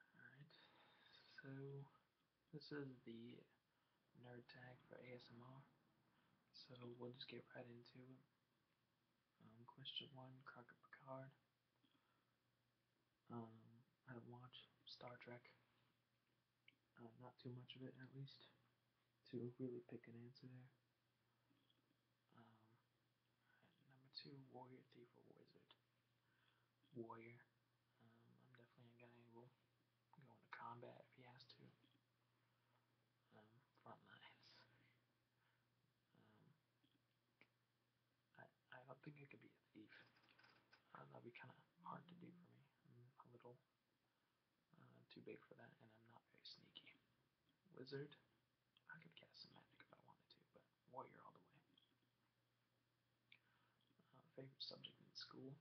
Alright, so this is the nerd tag for ASMR. So we'll just get right into it. Um, question one, Crockett Picard. Um, I don't watch Star Trek. Uh, not too much of it, at least, to really pick an answer there. Um, number two, warrior, thief, or wizard. Warrior. Um, I'm definitely a guy who will go into combat if he has to. Um, front lines. Um, I, I don't think I could be a thief. that'd be kind of hard to do for me. I'm a little uh, too big for that, and I'm not very sneaky. Wizard. I could cast some magic if I wanted to, but warrior all the way. Uh, favorite subject in school?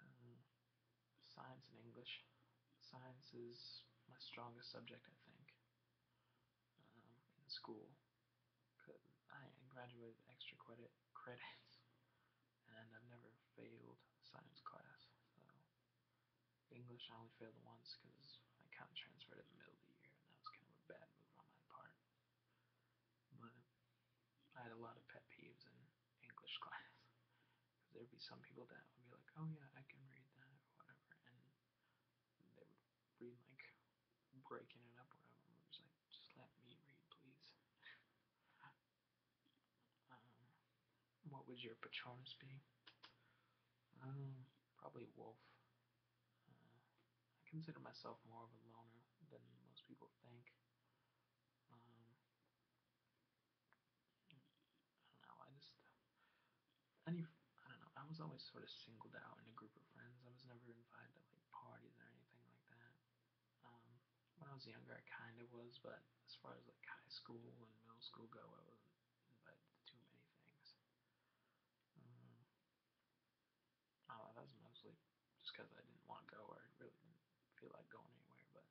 Um, science and English. Science is my strongest subject, I think, um, in school. I graduated extra credit credits, and I've never failed science class, English I only failed once because I kind of transferred in the middle of the year, and that was kind of a bad move on my part. But I had a lot of pet peeves in English class because there'd be some people that would be like, "Oh yeah, I can read that" or whatever, and they would read like breaking it up or whatever. And I was like, "Just let me read, please." um, what would your Patronus be? Um, probably Wolf. Uh, I consider myself more of a loner than most people think. Um, I don't know. I just any I don't know. I was always sort of singled out in a group of friends. I was never invited to like parties or anything like that. Um, when I was younger, I kind of was, but as far as like high school and middle school go, I wasn't but too many things. Um, oh, that was mostly just because I didn't want to go or I really didn't feel like going anywhere, but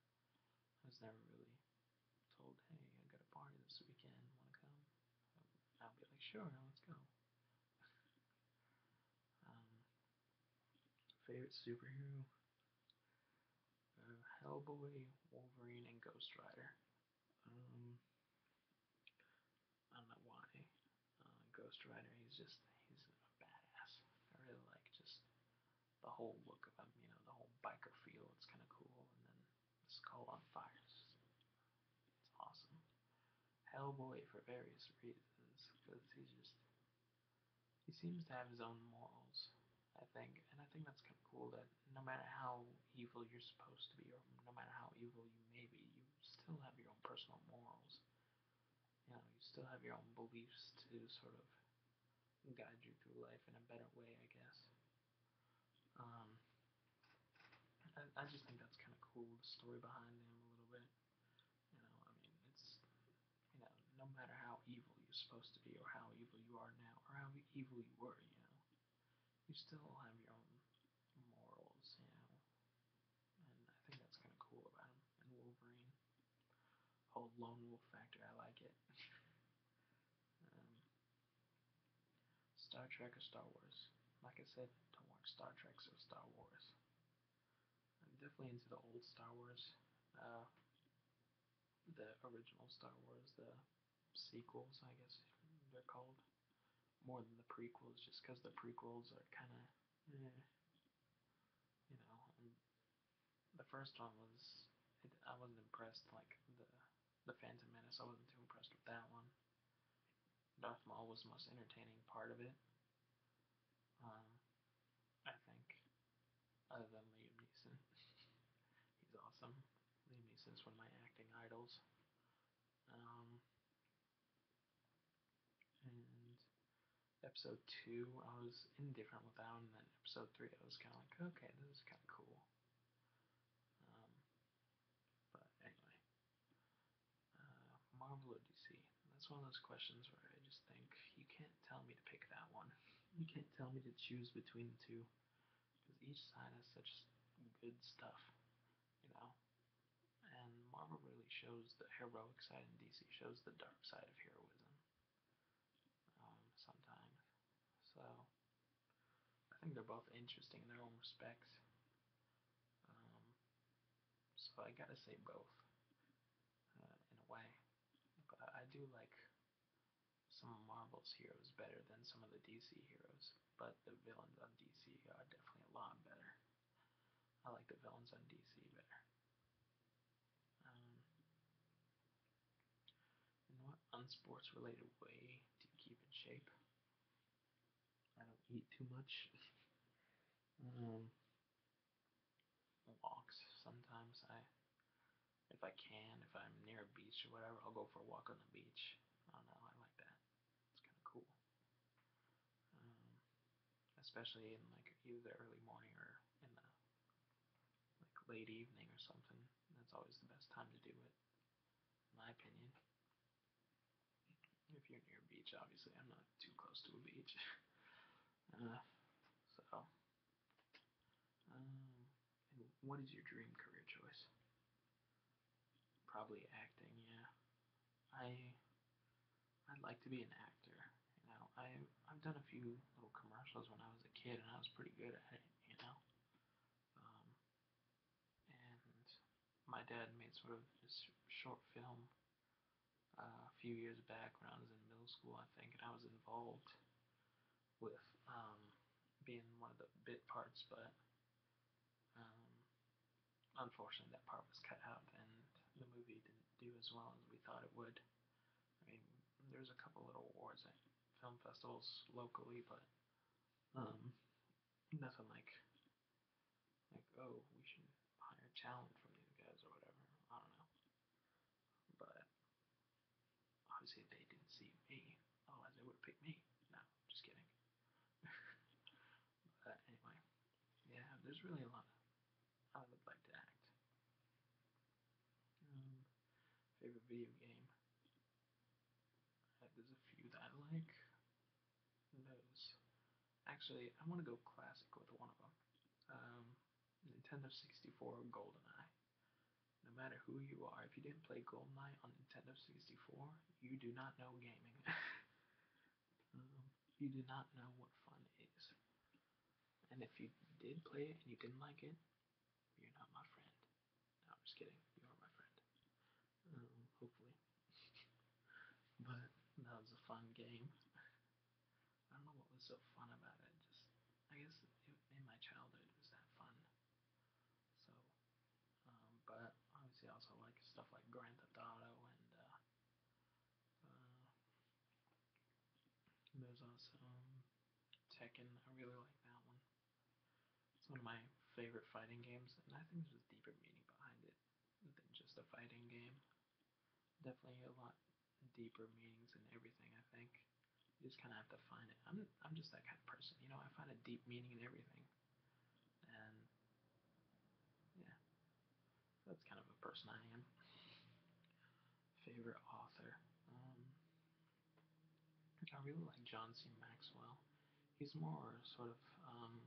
I was never really told, hey, I got a party this weekend, want to come? I'll be like, sure, let's go. um, favorite superhero? Uh, Hellboy, Wolverine, and Ghost Rider. Um, I don't know why. Uh, Ghost Rider, he's just he's a badass. I really like just the whole look of him. You know, the whole biker feel. It's kind of cool. And then skull on fire. It's, it's awesome. Hellboy for various reasons because he's just he seems to have his own morals I think. And I think that's kind of cool that no matter how evil you're supposed to be, or no matter how evil you may be, you still have your own personal morals. You know, you still have your own beliefs to sort of guide you through life in a better way, I guess. Um, I, I just think that's kind of cool, the story behind him a little bit. You know, I mean, it's, you know, no matter how evil you're supposed to be, or how evil you are now, or how evil you were, you know you still have your own morals, you know. And I think that's kind of cool about him. And Wolverine, whole lone wolf factor, I like it. Um, Star Trek or Star Wars? Like I said, don't watch Star Trek, so Star Wars. I'm definitely into the old Star Wars, uh, the original Star Wars, the sequels, I guess they're called, more than the prequels, just because the prequels are kind of, eh, you know. And the first one was, it, I wasn't impressed. Like the the Phantom Menace, I wasn't too impressed with that one. Darth Maul was the most entertaining part of it. Um, I think other than Liam Neeson. He's awesome. Liam Neeson's one of my acting idols. Um, and episode two, I was indifferent with that one. And then episode three, I was kind of like, okay, this is kind of cool. Um, but anyway, uh, Marvel or DC? That's one of those questions where I just think you can't tell me to pick that one. You can't tell me to choose between the two because each side has such good stuff, you know. And Marvel really shows the heroic side, and DC shows the dark side of heroism um, sometimes. So I think they're both interesting in their own respects. Um, so I gotta say both uh, in a way, but I do like some Marvel's heroes better than some of the DC heroes, but the villains on DC are definitely a lot better. I like the villains on DC better. Um, what unsports related way do keep in shape? I don't eat too much. um, walks sometimes. I if I can, if I'm near a beach or whatever, I'll go for a walk on the beach. I don't know, I like that. It's kind of cool. Um, especially in like either the early morning or in the like late evening or something. That's always the best time to do it, in my opinion. If you're near a beach, obviously, I'm not too close to a beach. uh, so um, what is your dream career choice? Probably acting, yeah. I I'd like to be an actor. You know, I I've done a few little commercials when I was a kid, and I was pretty good at it. You know, um, and my dad made sort of this short film uh, a few years back when I was in middle school, I think, and I was involved with um, being one of the bit parts, but um, unfortunately that part was cut out and the movie didn't do as well as we thought it would. I mean, there's a couple little awards at film festivals locally, but um, nothing like like oh we should hire talent from these guys or whatever. I don't know. But obviously they didn't see me, otherwise they would have picked me. No, just kidding. but anyway, yeah, there's really a lot I would like to act. Um, favorite video game. Uh, there's a few that I like. Those. Actually, I want to go classic with one of them. Um, Nintendo 64 GoldenEye. No matter who you are, if you didn't play Knight on Nintendo 64, you do not know gaming. Um, you do not know what fun is. And if you did play it and you didn't like it, you're not my friend. No, I'm just kidding. You are my friend. Um, hopefully. but that was a fun game. I don't know what was so fun about it. Just I guess it, in my childhood it was that fun. So, um, but obviously I also like stuff like Grand Theft Auto and uh, uh, there's also um, Tekken. I really like that one. It's one of my favorite fighting games, and I think there's a deeper meaning behind it than just a fighting game. Definitely a lot deeper meanings in everything. I think you just kind of have to find it. I'm I'm just that kind of person, you know. I find a deep meaning in everything, and yeah, so that's kind of a person I am. Favorite author. Um, I really like John C. Maxwell. He's more sort of um,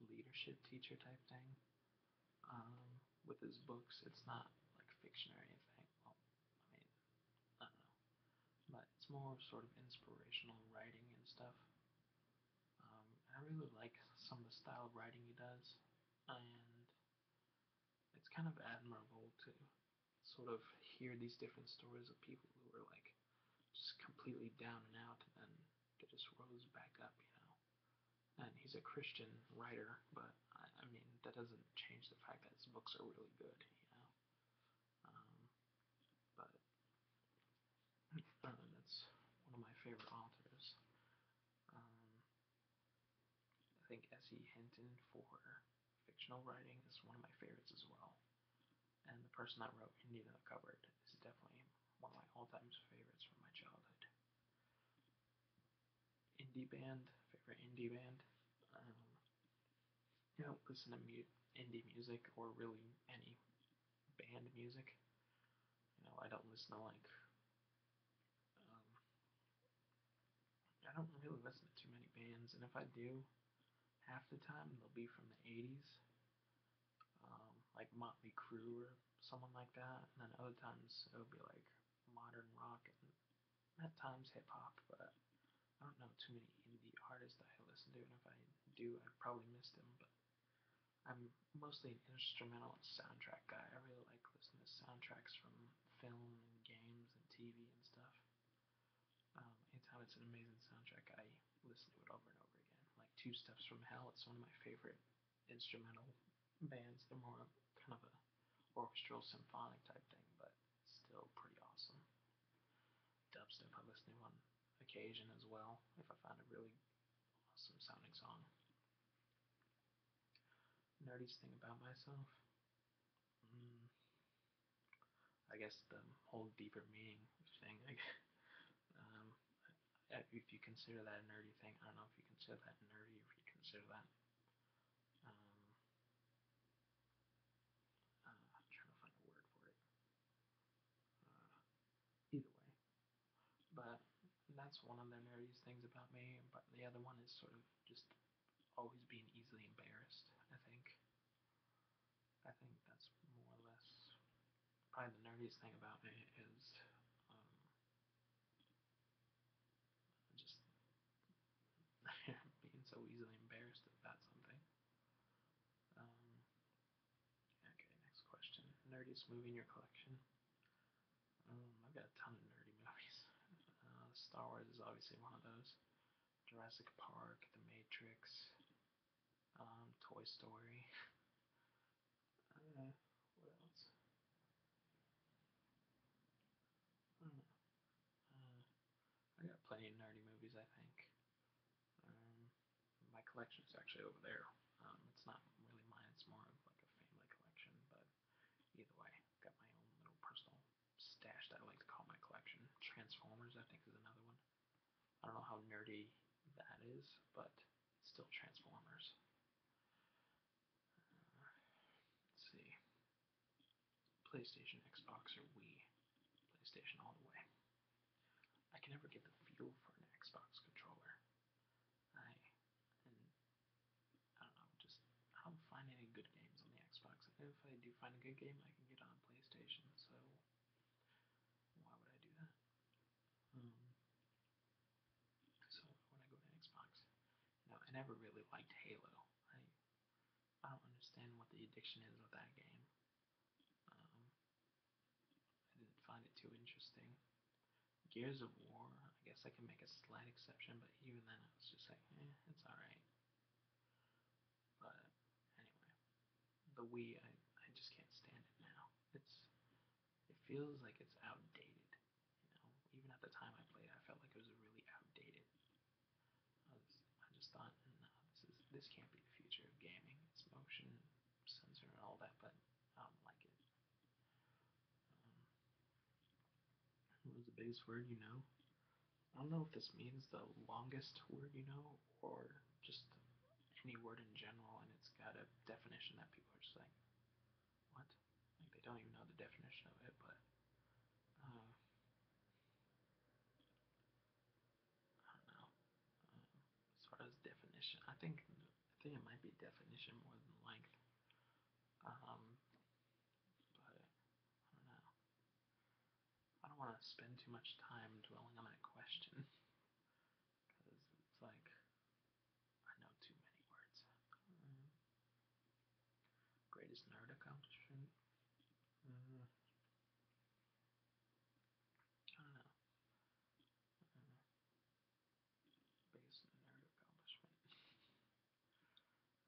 a leadership teacher type thing um, with his books. It's not like fiction or anything. Well, I mean, I don't know. But it's more sort of inspirational writing and stuff. Um, I really like some of the style of writing he does, and it's kind of admirable to sort of hear these different stories of people who were like just completely down and out, and then they just rose back up, you know and he's a Christian writer, but I, I, mean that doesn't change the fact that his books are really good, you know. Um, but um, that's one of my favorite authors. Um, I think S.E. Hinton for fictional writing is one of my favorites as well. And the person that wrote Indian in the Cupboard is definitely one of my all-time favorites from my childhood indie band, favorite indie band. Um, you know, listen to mu- indie music or really any band music. You know, I don't listen to like. Um, I don't really listen to too many bands, and if I do, half the time they'll be from the 80s, um, like Motley Crue or someone like that, and then other times it'll be like modern rock and at times hip hop, but I don't know too many indie artists that I listen to, and if I do, I probably miss them. But I'm mostly an instrumental and soundtrack guy. I really like listening to soundtracks from film and games and TV and stuff. Um, anytime it's an amazing soundtrack, I listen to it over and over again. Like Two Steps from Hell, it's one of my favorite instrumental bands. They're more of kind of a orchestral symphonic type thing, but still pretty awesome. Dubstep I listen to on occasion as well if I find a really awesome sounding song. Nerdiest thing about myself. Mm, I guess the whole deeper meaning thing. I guess. Um, if you consider that a nerdy thing, I don't know if you consider that nerdy, if you consider that um, uh, I'm trying to find a word for it. Uh, either way, but that's one of the nerdiest things about me. But the other one is sort of just always being easily embarrassed. I think. I think that's more or less probably the nerdiest thing about me is um, just being so easily embarrassed about something. Um, okay, next question. Nerdiest movie in your collection? Um, I've got a ton of nerdy movies. Uh, Star Wars is obviously one of those. Jurassic Park, The Matrix, um, Toy Story, Uh, what else? I don't know. Uh, I got plenty of nerdy movies, I think. Um, my is actually over there. Um, it's not really mine, it's more of like a family collection, but either way, i got my own little personal stash that I like to call my collection. Transformers, I think, is another one. I don't know how nerdy that is, but it's still Transformers. Let's see. PlayStation, Xbox, or Wii. PlayStation all the way. I can never get the feel for an Xbox controller. I I don't know, just I don't find any good games on the Xbox. If I do find a good game, I can get on PlayStation. So why would I do that? Um, so when I go to Xbox, you know, I never really liked Halo. I I don't understand what the addiction is with that game. Um, I didn't find it too interesting. Gears of War, I guess I can make a slight exception, but even then I was just like, eh, it's alright. But anyway, the Wii, I, I just can't stand it now. It's it feels like it's outdated. You know, even at the time I played, I felt like it was really outdated. I, was, I just thought, no, this is this can't be the future of gaming. It's motion sensor and all that, but I don't like it. Um, what was the biggest word you know? I don't know if this means the longest word you know, or just any word in general, and it's got a definition that people are just like, what? Like they don't even know the definition of it, but uh, I don't know. Uh, as far as definition, I think I think it might be definition more than length. Um, but I don't know. I don't want to spend too much time dwelling on that question. Because it's like, I know too many words. Uh, greatest nerd accomplishment? Uh, I don't know. Uh, biggest nerd accomplishment?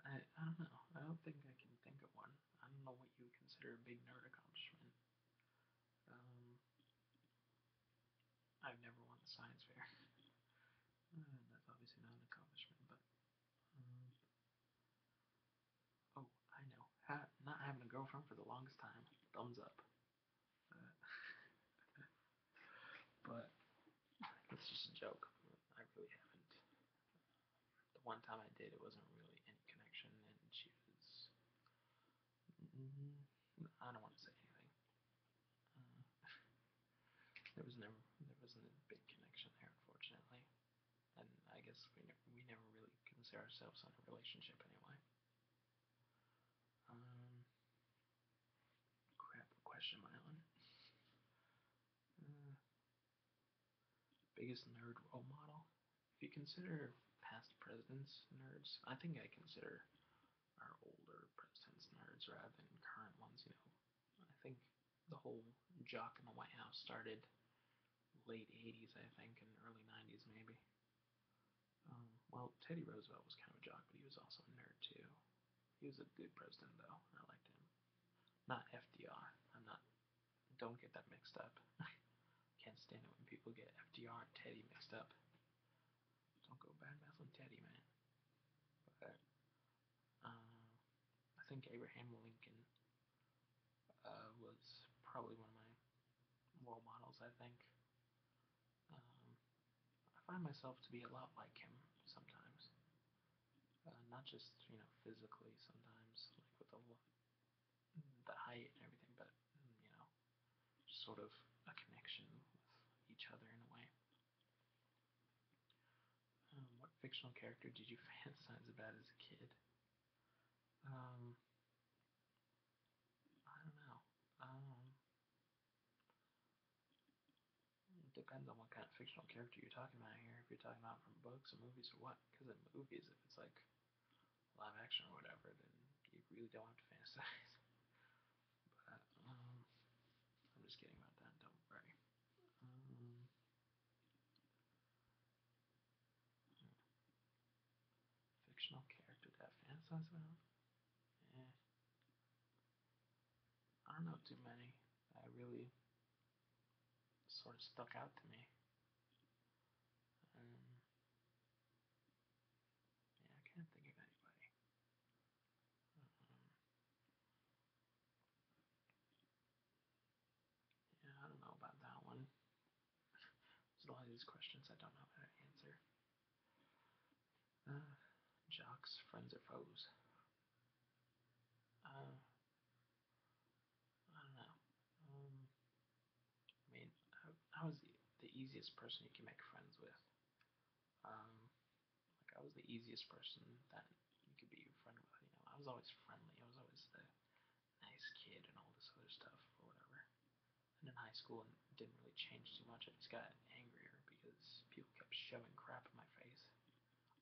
I, I don't know. I don't think I can think of one. I don't know what you would consider a big nerd accomplishment. Um, I've never won the science fair. Uh, that's obviously not an accomplishment, but. Um, oh, I know. not having a girlfriend for the longest time. Thumbs up. Uh, but it's just a joke. I really haven't. The one time I did, it wasn't really any connection, and she was. I don't want to say anything. Uh, there was never there wasn't a big connection there, unfortunately, and I guess we never we never really consider ourselves on a relationship anyway. Um, crap. question am uh, biggest nerd role model. If you consider past presidents nerds, I think I consider are older presidents nerds rather than current ones. You know, I think the whole jock in the White House started late 80s, I think, and early 90s maybe. Um, well, Teddy Roosevelt was kind of a jock, but he was also a nerd too. He was a good president though. I liked him. Not FDR. I'm not. Don't get that mixed up. Can't stand it when people get FDR and Teddy mixed up. Don't go bad mouthing Teddy, man. But uh, I think Abraham Lincoln uh, was probably one of my role models. I think um, I find myself to be a lot like him sometimes. Uh, not just you know physically sometimes, like with the the height and everything, but mm, you know just sort of a connection with each other in a way. Um, what fictional character did you fantasize about as a kid? Um, I don't know. Um, it depends on what kind of fictional character you're talking about here. If you're talking about from books or movies or what, because in movies, if it's like live action or whatever, then you really don't have to fantasize. Um, I'm just kidding about that, don't worry. Um, fictional character that I fantasize about? Eh. I don't know too many that really sort of stuck out to me. Um, yeah, I can't think of anybody. Um, yeah, I don't know about that one. There's a lot of these questions I don't know how to answer. Uh, jocks, friends or foes? Uh, I don't know. Um, I mean, how, how is the, the easiest person you can make friends with? Um, like I was the easiest person that you could be your friend with. You know, I was always friendly. I was always the nice kid and all this other stuff or whatever. And in high school, it didn't really change too much. I just got angrier because people kept shoving crap in my face.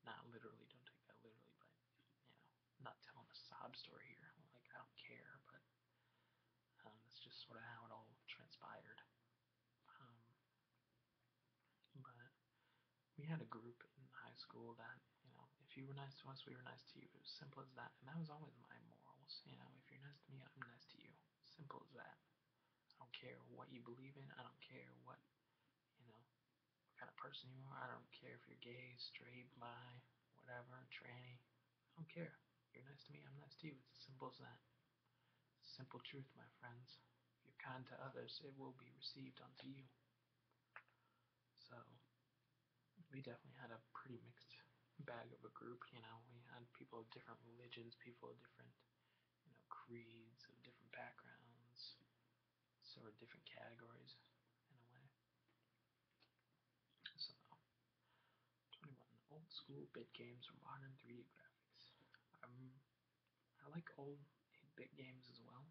Not literally. Don't take that literally, but you know, I'm not telling a sob story here. Like I don't care, but um, that's just sort of how it all transpired. Um, but we had a group in high school that, you know, if you were nice to us, we were nice to you. It was simple as that. And that was always my morals. You know, if you're nice to me, I'm nice to you. Simple as that. I don't care what you believe in. I don't care what, you know, what kind of person you are. I don't care if you're gay, straight, bi, whatever, tranny. I don't care. You're nice to me, I'm nice to you. It's as simple as that. simple truth, my friends. If you're kind to others, it will be received unto you. So, we definitely had a pretty mixed bag of a group, you know. We had people of different religions, people of different, you know, creeds, of different backgrounds, So, different categories in a way. So, 21. Old school bit games or modern 3D graphics. Um, I like old 8-bit games as well.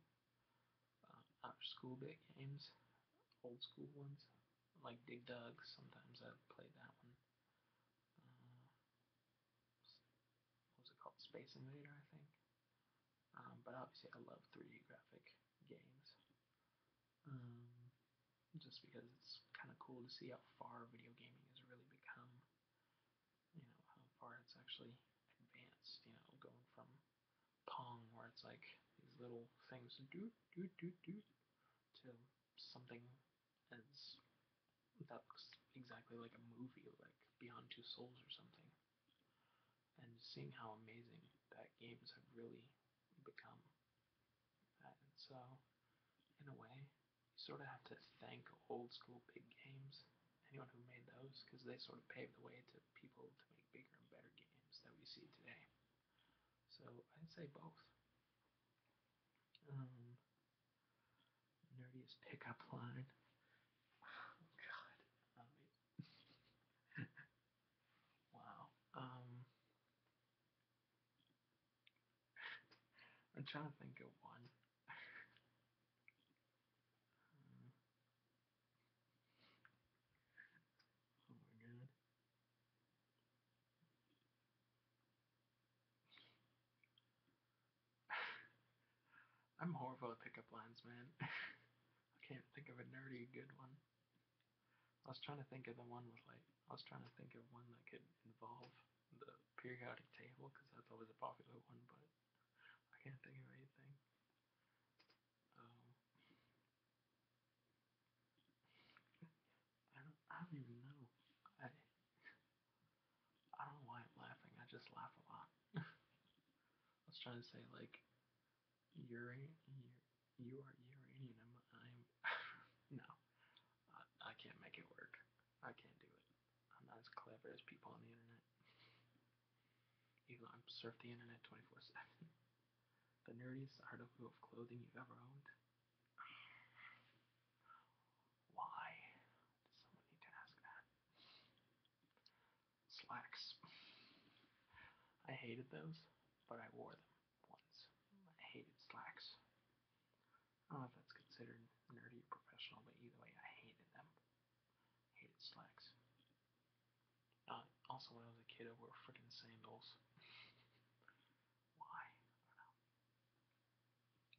Um, after school bit games, old school ones, like Dig Dug, sometimes I've played that one. Uh, what was it called? Space Invader, I think. Um, but obviously I love 3D graphic games um, just because it's kind of cool to see how far video gaming has really become. You know, how far it's actually advanced, you know, going from Pong, where it's like these little things do, do, do, do, to something as that looks exactly like a movie, like Beyond Two Souls or something. And seeing how amazing that games have really become and so, in a way, you sort of have to thank old school big games, anyone who made those, because they sort of paved the way to people to make bigger and better games that we see today. So I'd say both. Um, nerdiest pickup line. Oh God, I mean, wow. Um, I'm trying to think of one. Hmm. oh my god. I'm horrible at pickup lines, man. I can't think of a nerdy good one. I was trying to think of the one with like I was trying to think of one that could involve the periodic table because that's always a popular one, but I can't think of anything. Um, I don't I don't even know. I I don't know why I'm laughing. I just laugh a lot. I was trying to say like urine, you are Iranian. I'm. I'm no, I, I can't make it work. I can't do it. I'm not as clever as people on the internet. Even though I surf the internet 24 7. The nerdiest article of clothing you've ever owned. Why does someone need to ask that? Slacks. I hated those, but I wore them ones. I hated slacks. I don't know if that's considered nerdy or professional, but either way, I hated them. I hated slacks. Uh, also, when I was a kid, I wore freaking sandals. Why? I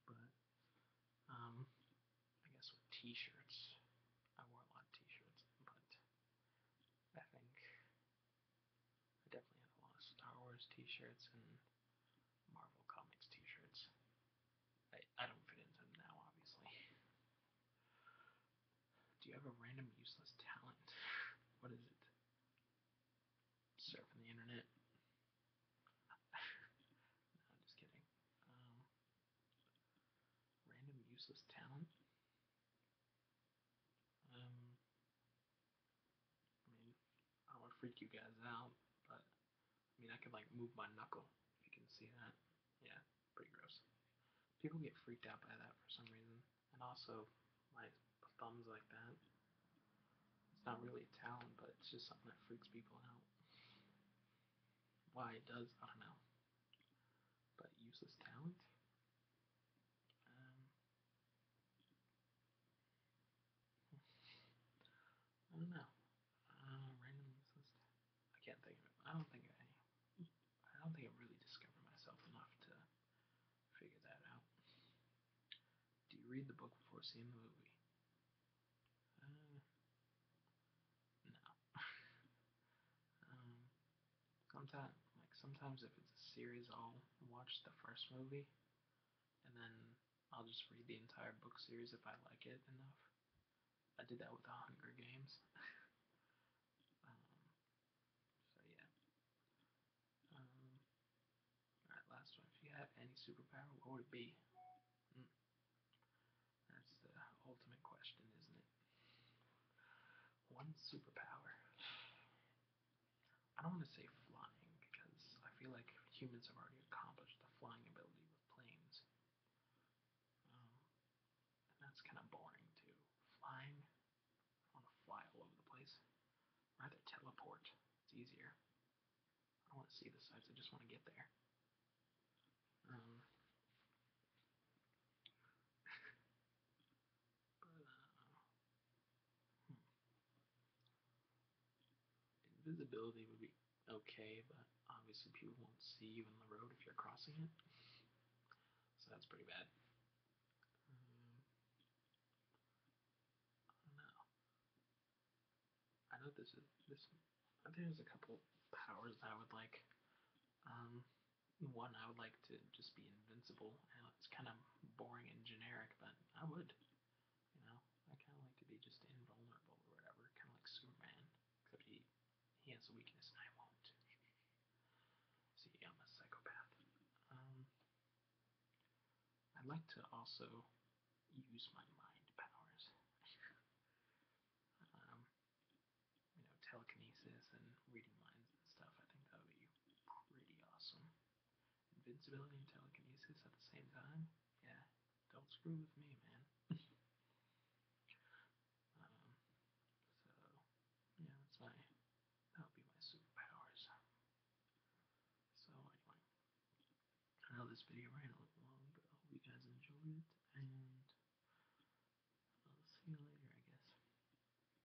don't know. But, um, I guess with t shirts, I wore a lot of t shirts, but I think I definitely have a lot of Star Wars t-shirts and Marvel Comics t-shirts. I, I don't fit into them now, obviously. Do you have a random useless talent? What is it? Surfing the internet? no, just kidding. Um, random useless talent? Um, I mean, I would freak you guys out, but I mean, I could like move my knuckle if you can see that. Yeah, pretty gross. People get freaked out by that for some reason, and also my thumbs like that. It's not really a talent, but it's just something that freaks people out. Why it does, I don't know. But useless talent? Um, I don't know. Uh, I can't think of it. I don't think I. I don't think I really discovered myself enough to figure that out. Do you read the book before seeing the movie? Uh, no. Um, Sometimes, like sometimes if it's a series, I'll watch the first movie, and then I'll just read the entire book series if I like it enough. I did that with The Hunger Games. um, so yeah. Um, Alright, last one. If you had any superpower, what would it be? Mm. That's the ultimate question, isn't it? One superpower. I don't want to say flying because I feel like humans have already accomplished the flying ability with planes. Um, and that's kind of boring too. Flying, I want to fly all over the place. I'd rather teleport, it's easier. I don't want to see the sights, I just want to get there. Um, Hmm. Invisibility would be okay, but obviously people won't see you in the road if you're crossing it. So that's pretty bad. Um, I don't know. I know this is this. There's a couple powers that I would like. Um, one, I would like to just be invincible. I know it's kind of boring and generic, but I would. You know, I kind of like to be just invulnerable or whatever, kind of like Superman, except he he has a weakness and I won't. See, I'm a psychopath. Um, I'd like to also use my mind powers. um, you know, telekinesis and reading minds and stuff. I think that would be pretty awesome. Invincibility and telekinesis at the same time? Yeah, don't screw with me, man. Um, so, yeah, that's my, that'll be my superpowers. So, anyway, I know this video ran a little long, but I hope you guys enjoyed it, and I'll uh, see you later, I guess.